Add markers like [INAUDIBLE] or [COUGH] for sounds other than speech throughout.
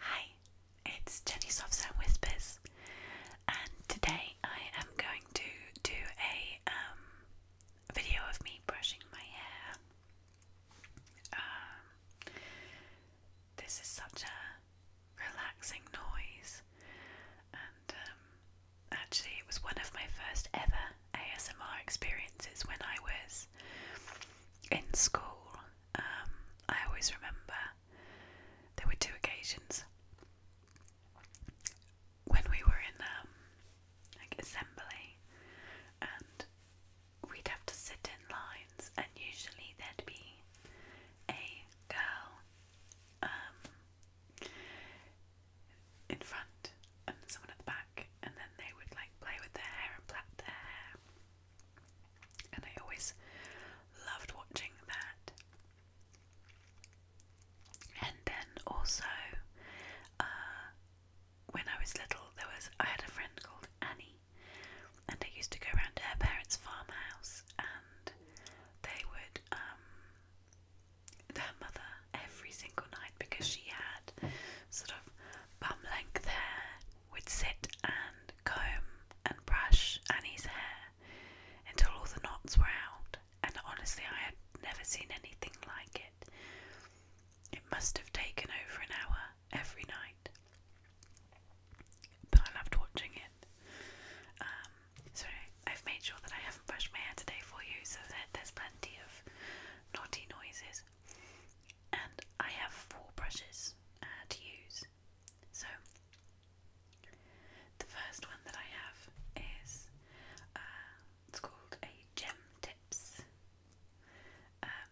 Hi, it's Jenny Softs and Whispers, and today I am going to do a um, video of me brushing my hair. Um, this is such a relaxing noise, and um, actually, it was one of my first ever ASMR experiences when I was in school. Um, I always remember there were two occasions when we were in um, like assembly, and we'd have to sit in lines, and usually there'd be a girl um, in front and someone at the back, and then they would like play with their hair and plait their hair and I always loved watching that. And then also, uh, when I was little, there was I had a friend called Annie, and I used to go around to her parents' farmhouse, and they would um, her mother every single night because she had sort of bum length hair would sit and comb and brush Annie's hair until all the knots were out, and honestly, I had never seen anything like it. It must have taken over an hour every night, but I loved watching it. Um, I've made sure that I haven't brushed my hair today for you, so that there's plenty of naughty noises and I have four brushes uh, to use. So, the first one that I have is uh, it's called a Gem Tips um,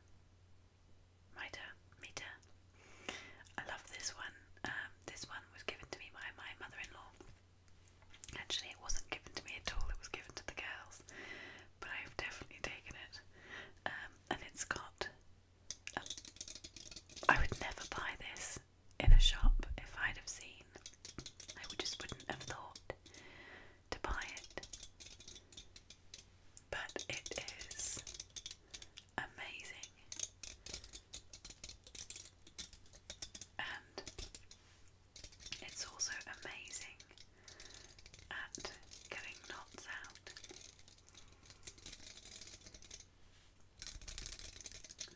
Mitre Meter. I love this one. Um, this one was given to me by my mother-in-law. Actually, it wasn't given to me at all. It was given to the girls, but I've definitely taken it. Um, and it's got. A, I would never buy this in a shop if I'd have seen. I just wouldn't have thought to buy it. But it is amazing. And it's also amazing at getting knots out.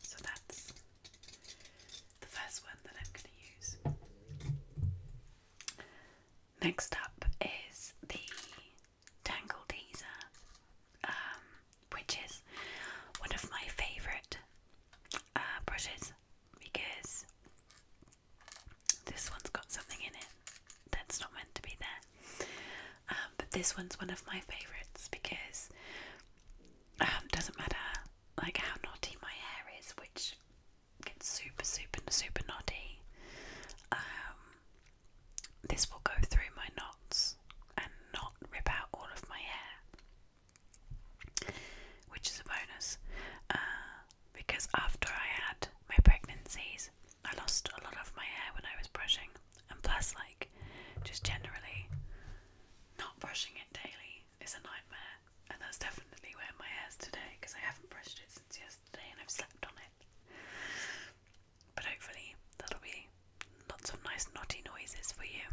So that's the first one that I'm going to use. Next up is the Tangle Teaser, um, which is one of my favourite uh, brushes because this one's got something in it that's not meant to be there. Um, but this one's one of my favourites because it um, doesn't matter like how knotty my hair is, which gets super, super, super knotty. Um, this will go through my knots and not rip out all of my hair, which is a bonus. Uh, because after I had my pregnancies, I lost a lot of my hair when I was brushing, and plus, like, just generally not brushing it daily is a nightmare, and that's definitely where my hair is today because I haven't brushed it since yesterday and I've slept on it. But hopefully, that'll be lots of nice knotty noises for you.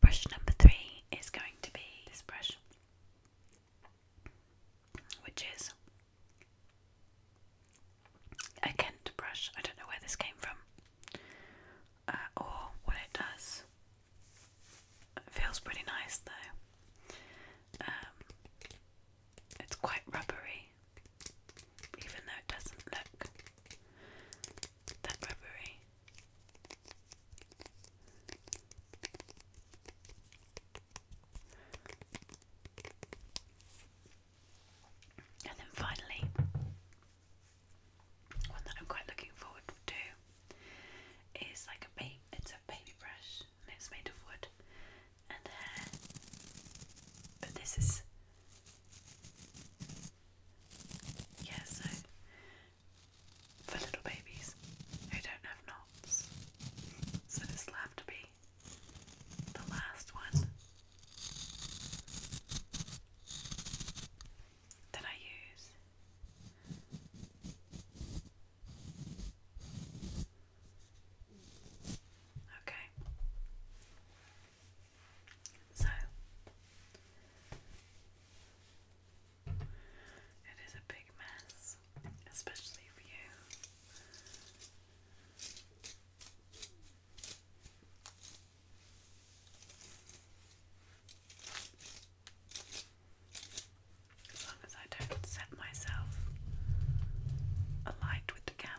Brush number three is going to be this brush which is a Kent brush. I don't know where this came from uh, or what it does. It feels pretty nice though. Um, it's quite rubbery, even though it doesn't look that rubbery. And then finally, one that I'm quite looking forward to is like a baby, it's a baby brush and it's made of wood and hair. But this is, yeah, so for little babies who don't have knots. So this will to be the last one that I use. Okay. So it is a big mess, especially for you. As long as I don't set myself alight with the candle.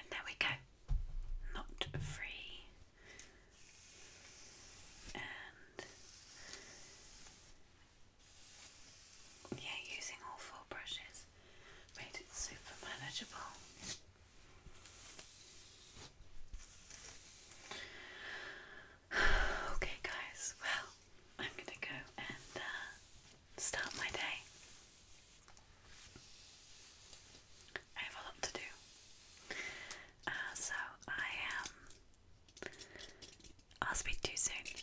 And there we go, knot free yeah, using all four brushes made it super manageable. [SIGHS] Okay, guys, well, I'm gonna go and uh, start my day. I have a lot to do. Uh, so, I am. Um, I'll speak too soon.